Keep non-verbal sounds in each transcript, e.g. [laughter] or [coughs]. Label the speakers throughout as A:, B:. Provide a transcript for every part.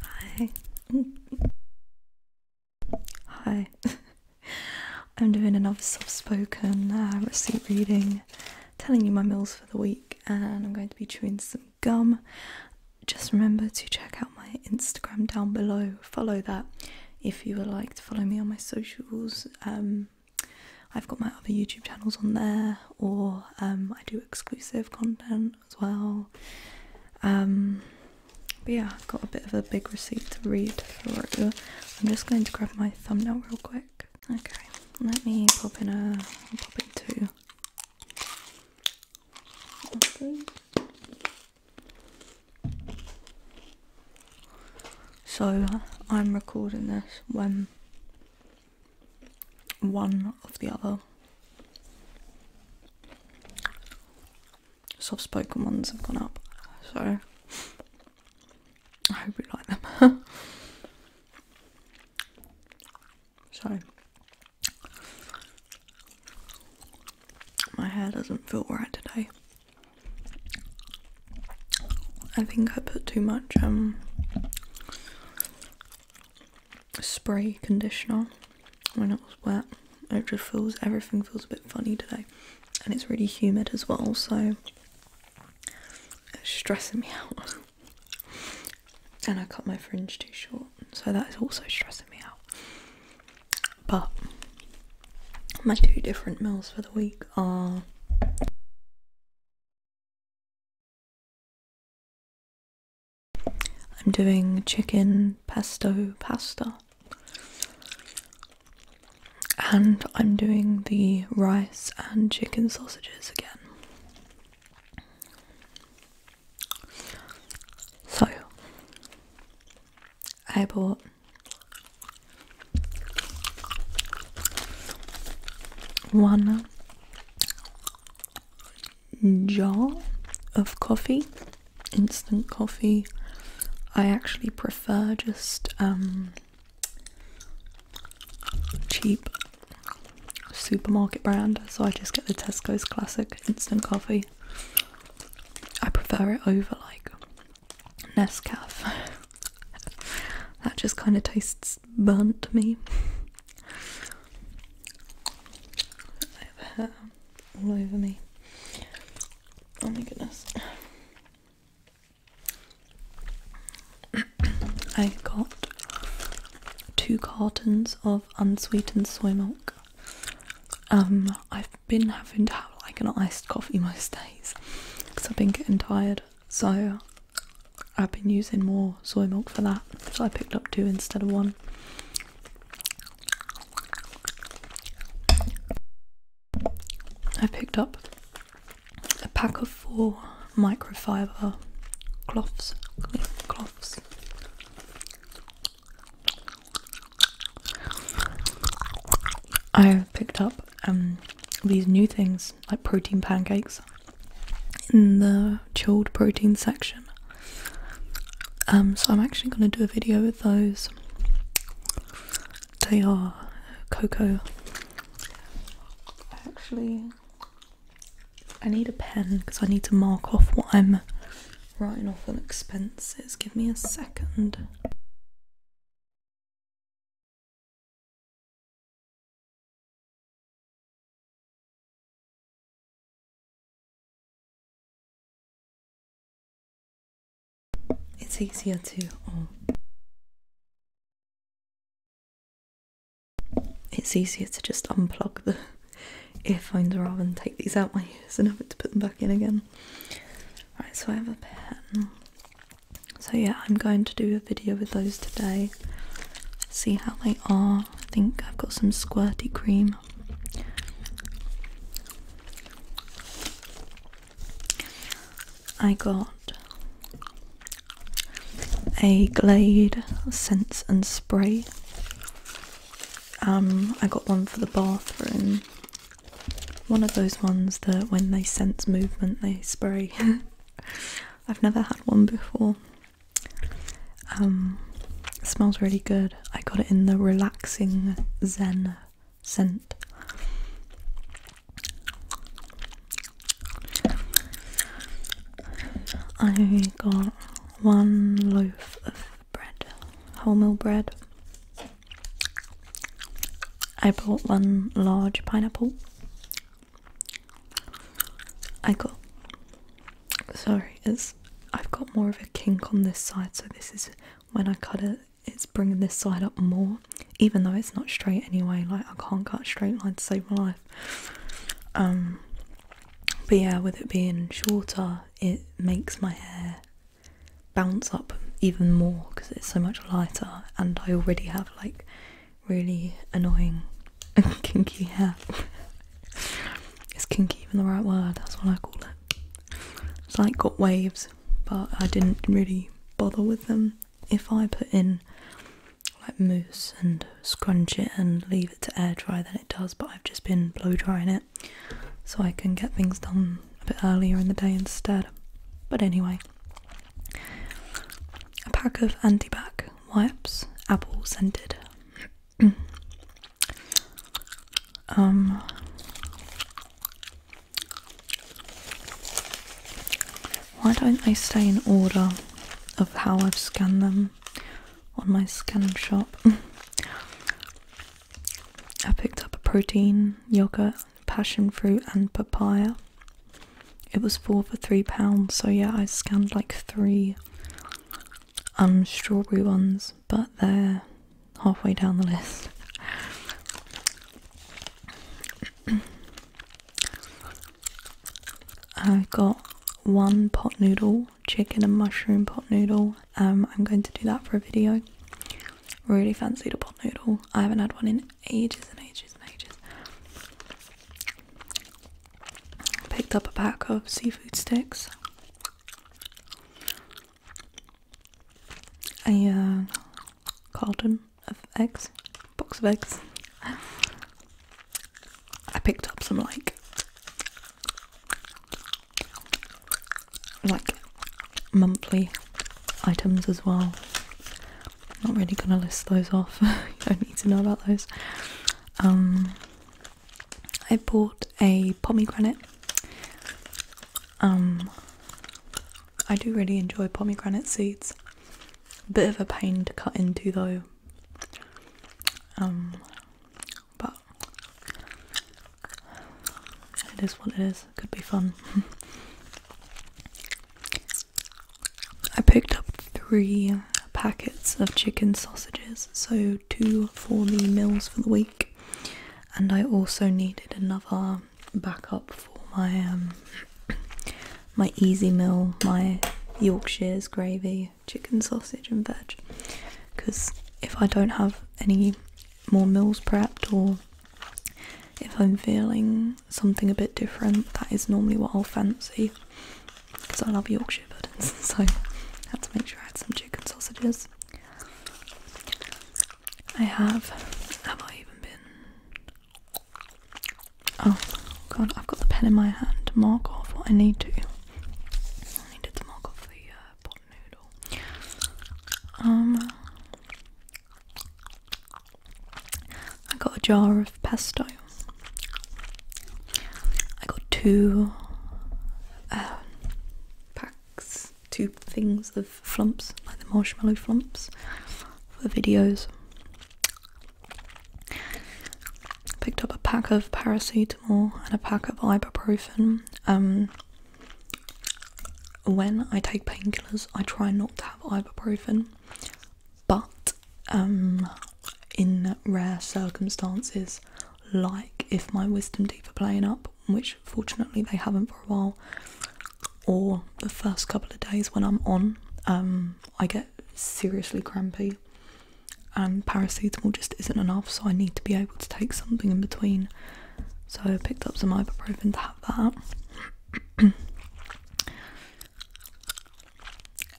A: Hi. [laughs] Hi. [laughs] I'm doing another soft spoken uh, receipt reading, telling you my meals for the week, and I'm going to be chewing some gum. Just remember to check out my Instagram down below. Follow that if you would like to follow me on my socials. Um, I've got my other YouTube channels on there, or um, I do exclusive content as well. Um, but yeah, I've got a bit of a big receipt to read through. I'm just going to grab my thumbnail real quick. Okay, let me pop in a pop in two. So I'm recording this when one of the other soft spoken ones have gone up, so I hope you like them. [laughs] so my hair doesn't feel right today. I think I put too much um, spray conditioner when it was wet. It just feels everything feels a bit funny today, and it's really humid as well, so it's stressing me [laughs] out. and I cut my fringe too short, so that is also stressing me out. But my two different meals for the week are I'm doing chicken pesto pasta. And I'm doing the rice and chicken sausages again. So, I bought one jar of coffee, instant coffee. I actually prefer just um, cheap supermarket brand, so I just get the Tesco's classic instant coffee. I prefer it over like Nescafe. [laughs] that just kind of tastes burnt to me. I have hair all over me. Oh my goodness. [coughs] I got two cartons of unsweetened soy milk. Um, I've been having to have like an iced coffee most days because I've been getting tired, so I've been using more soy milk for that, so I picked up two instead of one. I picked up a pack of four microfiber cloths, I picked up um, these new things like protein pancakes in the chilled protein section. Um, so I'm actually going to do a video with those. They are cocoa. Actually, I need a pen because I need to mark off what I'm writing off on expenses. Give me a second. It's easier to oh. It's easier to just unplug the earphones rather than take these out my ears and have to put them back in again. Right, so I have a pen. So yeah, I'm going to do a video with those today. See how they are. I think I've got some squirty cream. I got a Glade Sense and Spray. Um, I got one for the bathroom. One of those ones that when they sense movement they spray. [laughs] I've never had one before. Um, smells really good. I got it in the relaxing zen scent. I got one loaf of bread, wholemeal bread. I bought one large pineapple. I got sorry, it's I've got more of a kink on this side, so this is when I cut it, it's bringing this side up more, even though it's not straight anyway. Like I can't cut straight line to save my life. Um, but yeah, with it being shorter, it makes my hair bounce up even more because it's so much lighter, and I already have like really annoying [laughs] kinky hair. Is kinky even the right word? That's what I call it. It's like got waves, but I didn't really bother with them. If I put in like mousse and scrunch it and leave it to air dry, then it does. But I've just been blow drying it so I can get things done a bit earlier in the day instead. But anyway, a pack of antibac wipes, apple scented um, why don't they stay in order of how I've scanned them on my scan shop? [laughs] I picked up a protein, yogurt, passion fruit, and papaya. It was four for three pounds, so yeah, I scanned like three um strawberry ones, but they're halfway down the list. I've got one pot noodle, chicken and mushroom pot noodle. Um, I'm going to do that for a video. Really fancy the pot noodle. I haven't had one in ages and ages and ages. Picked up a pack of seafood sticks a uh, carton of eggs, box of eggs. I picked up some like like monthly items as well. Not really gonna list those off. [laughs] you don't need to know about those. Um, I bought a pomegranate. Um, I do really enjoy pomegranate seeds. Bit of a pain to cut into though. Um, but it is what it is. Could be fun. [laughs] I picked up three packets of chicken sausages, so 2 for the meals for the week, and I also needed another backup for my um, [clears throat] my easy meal, my Yorkshire's gravy, chicken sausage, and veg. Because if I don't have any more meals prepped, or if I'm feeling something a bit different, that is normally what I'll fancy because I love Yorkshire puddings, [laughs] so I had to make sure I had some chicken sausages. I have. Have I even been? Oh god, I've got the pen in my hand to mark off what I need to. I needed to mark off the uh, pot noodle. Um, I got a jar of pesto. I got two um, packs, two things of flumps, like the marshmallow flumps, for the videos. Picked up a pack of paracetamol and a pack of ibuprofen. Um, when I take painkillers, I try not to have ibuprofen, but um, in rare circumstances, like if my wisdom teeth are playing up, which fortunately they haven't for a while, or the first couple of days when I'm on, um, I get seriously crampy and paracetamol just isn't enough, so I need to be able to take something in between. So I picked up some ibuprofen to have that. [coughs]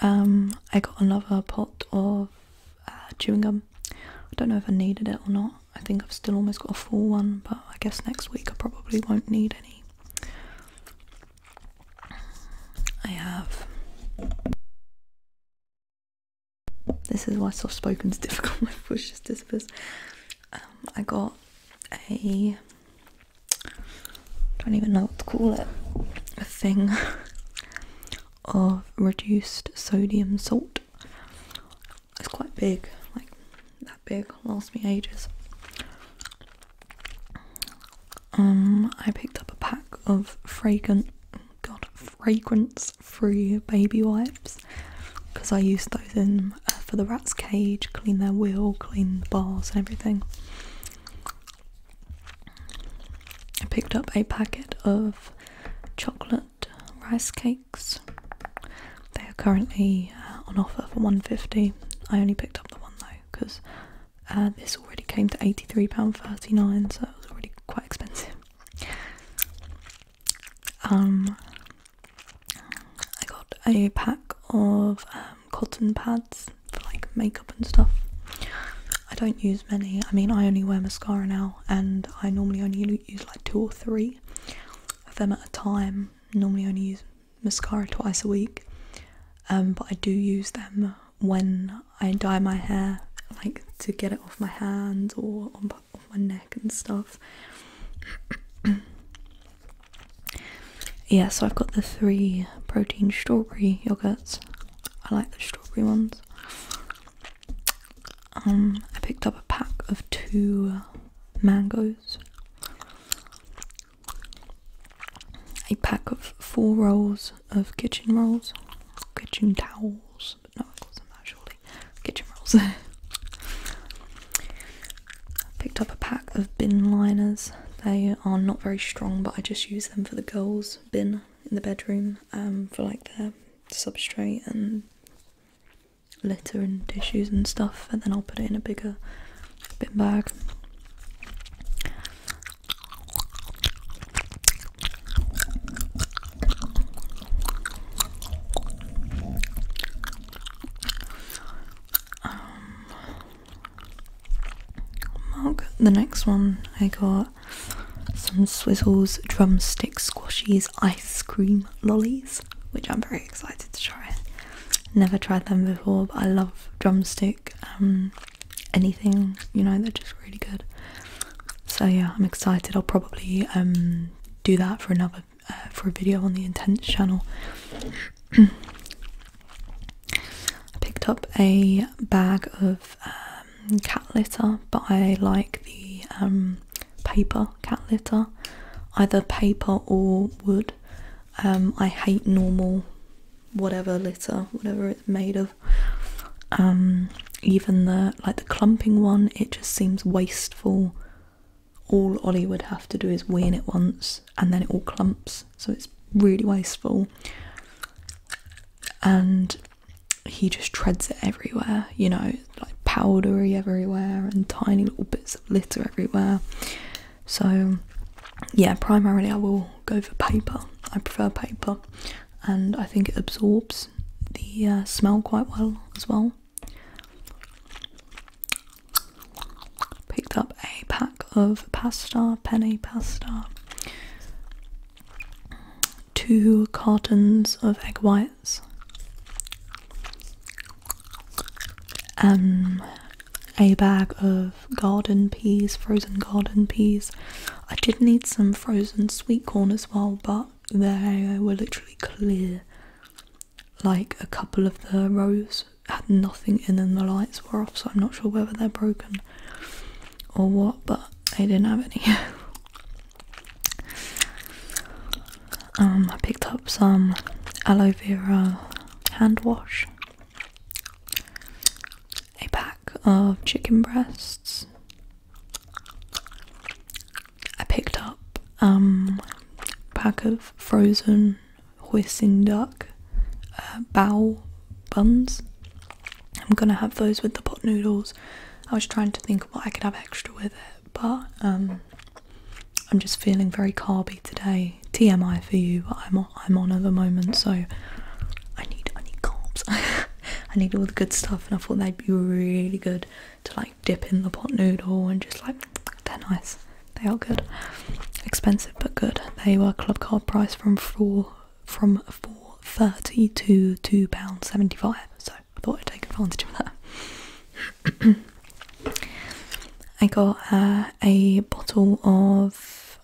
A: Um, I got another pot of uh, chewing gum I don't know if I needed it or not. I think I've still almost got a full one, but I guess next week I probably won't need any. I have. This is why soft spoken is [laughs] difficult. My voice just disappears. Um, I got a. I don't even know what to call it. A thing [laughs] of reduced sodium salt. It's quite big, like that big, lasts me ages. Um, I picked up a pack of fragrant, god, fragrance-free baby wipes because I used those in uh, for the rat's cage, clean their wheel, clean the bars and everything. I picked up a packet of chocolate rice cakes. They are currently uh, on offer for 150. I only picked up the one though because uh, this already came to £83.39 so it was already quite expensive. Um, I got a pack of um, cotton pads for like makeup and stuff. I don't use many. I mean, I only wear mascara now and I normally only use like two or three of them at a time. Normally only use mascara twice a week um, but I do use them when I dye my hair like to get it off my hands or on my neck and stuff. yeah so I've got the three protein strawberry yogurts. I like the strawberry ones. Um, I picked up a pack of two mangoes, a pack of four rolls of kitchen rolls, kitchen towels, no, I call them that kitchen rolls. [laughs] picked up a pack of bin liners. They are not very strong, but I just use them for the girls' bin in the bedroom um, for like their substrate and litter and tissues and stuff, and then I'll put it in a bigger bin bag. Um, mark, the next one I got some swizzles, drumsticks, squashies, ice cream lollies, which I'm very excited to try. Never tried them before, but I love drumstick, um, anything, you know, they're just really good. So yeah, I'm excited. I'll probably um, do that for another uh, for a video on the Intense channel. [clears throat] I picked up a bag of um, cat litter, but I like the um, paper cat litter, either paper or wood. Um, I hate normal whatever litter, whatever it's made of. Um, even the like the clumping one, it just seems wasteful. All Ollie would have to do is wean it once, and then it all clumps, so it's really wasteful and he just treads it everywhere, you know, like powdery everywhere and tiny little bits of litter everywhere. So, yeah, primarily I will go for paper. I prefer paper, and I think it absorbs the uh, smell quite well as well. Picked up a pack of pasta, Penny pasta two cartons of egg whites, um, a bag of garden peas, frozen garden peas. I did need some frozen sweet corn as well, but they were literally clear. Like a couple of the rows had nothing in them, the lights were off, so I'm not sure whether they're broken or what, but they didn't have any. [laughs] Um, I picked up some aloe vera hand wash, a pack of chicken breasts. I picked up a um, pack of frozen hoisin duck uh, buns. I'm gonna have those with the pot noodles. I was trying to think what I could have extra with it, but um, I'm just feeling very carby today. TMI for you, but I'm on, I'm on at the moment, so I need I need carbs. [laughs] I need all the good stuff, and I thought they'd be really good to like dip in the pot noodle and just like they're nice. They are good, expensive but good. They were club card price from four from four thirty to two pound seventy five. So I thought I'd take advantage of that. [coughs] I got uh, a bottle of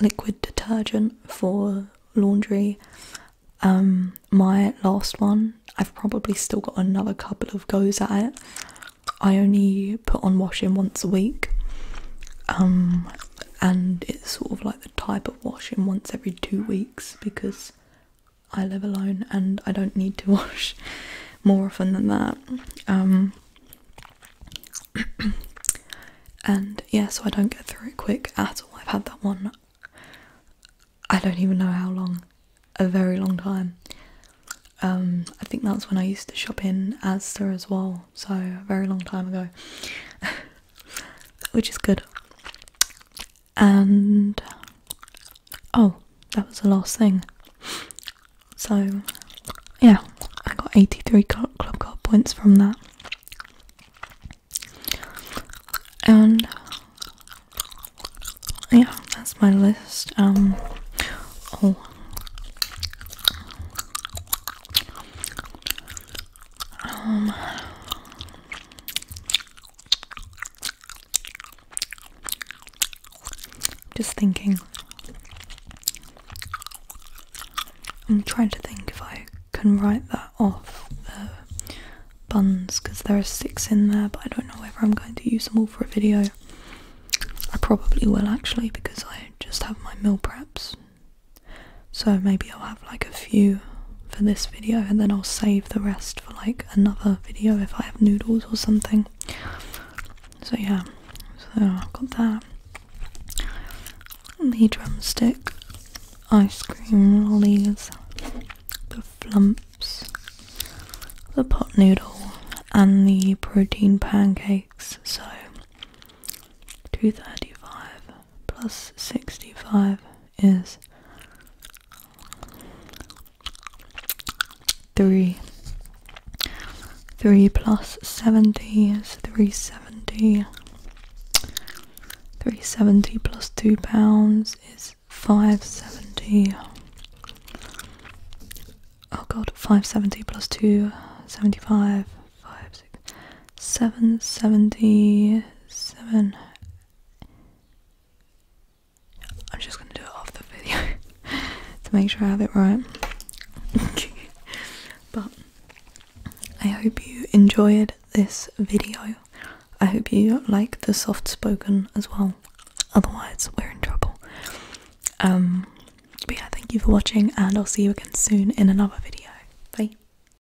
A: liquid detergent for laundry. Um, my last one, I've probably still got another couple of goes at it. I only put on washing once a week, um, and it's sort of like the type of washing once every two weeks because I live alone and I don't need to [laughs] wash more often than that. Um, [clears throat] and yeah, so I don't get through it quick at all. I've had that one, I don't even know how long, a very long time. Um, I think that's when I used to shop in Asda as well, so a very long time ago, [laughs] which is good and oh, that was the last thing. So, yeah, I got 83 club card points from that. And yeah, that's my list. Um, oh, um, just thinking. I'm trying to think if I can write that off the buns because there are six in there, but I don't know whether I'm going to use them all for a video. I probably will actually because I just have my meal preps so maybe I'll have like a few for this video and then I'll save the rest for like another video if I have noodles or something. So yeah, so I've got that. The drumstick, ice cream lollies, the flumps, the pot noodle and the protein pancakes. So 235 plus 65 is three. Three plus seventy is three seventy. Three seventy plus two pounds is five seventy. Oh god, five seventy plus two seventy five. Five six, seven seventy seven. I'm just gonna do it off the video [laughs] to make sure I have it right. [laughs] but I hope you enjoyed this video. I hope you like the soft spoken as well. Otherwise, we're in trouble. Um, but yeah, thank you for watching, and I'll see you again soon in another video. Bye.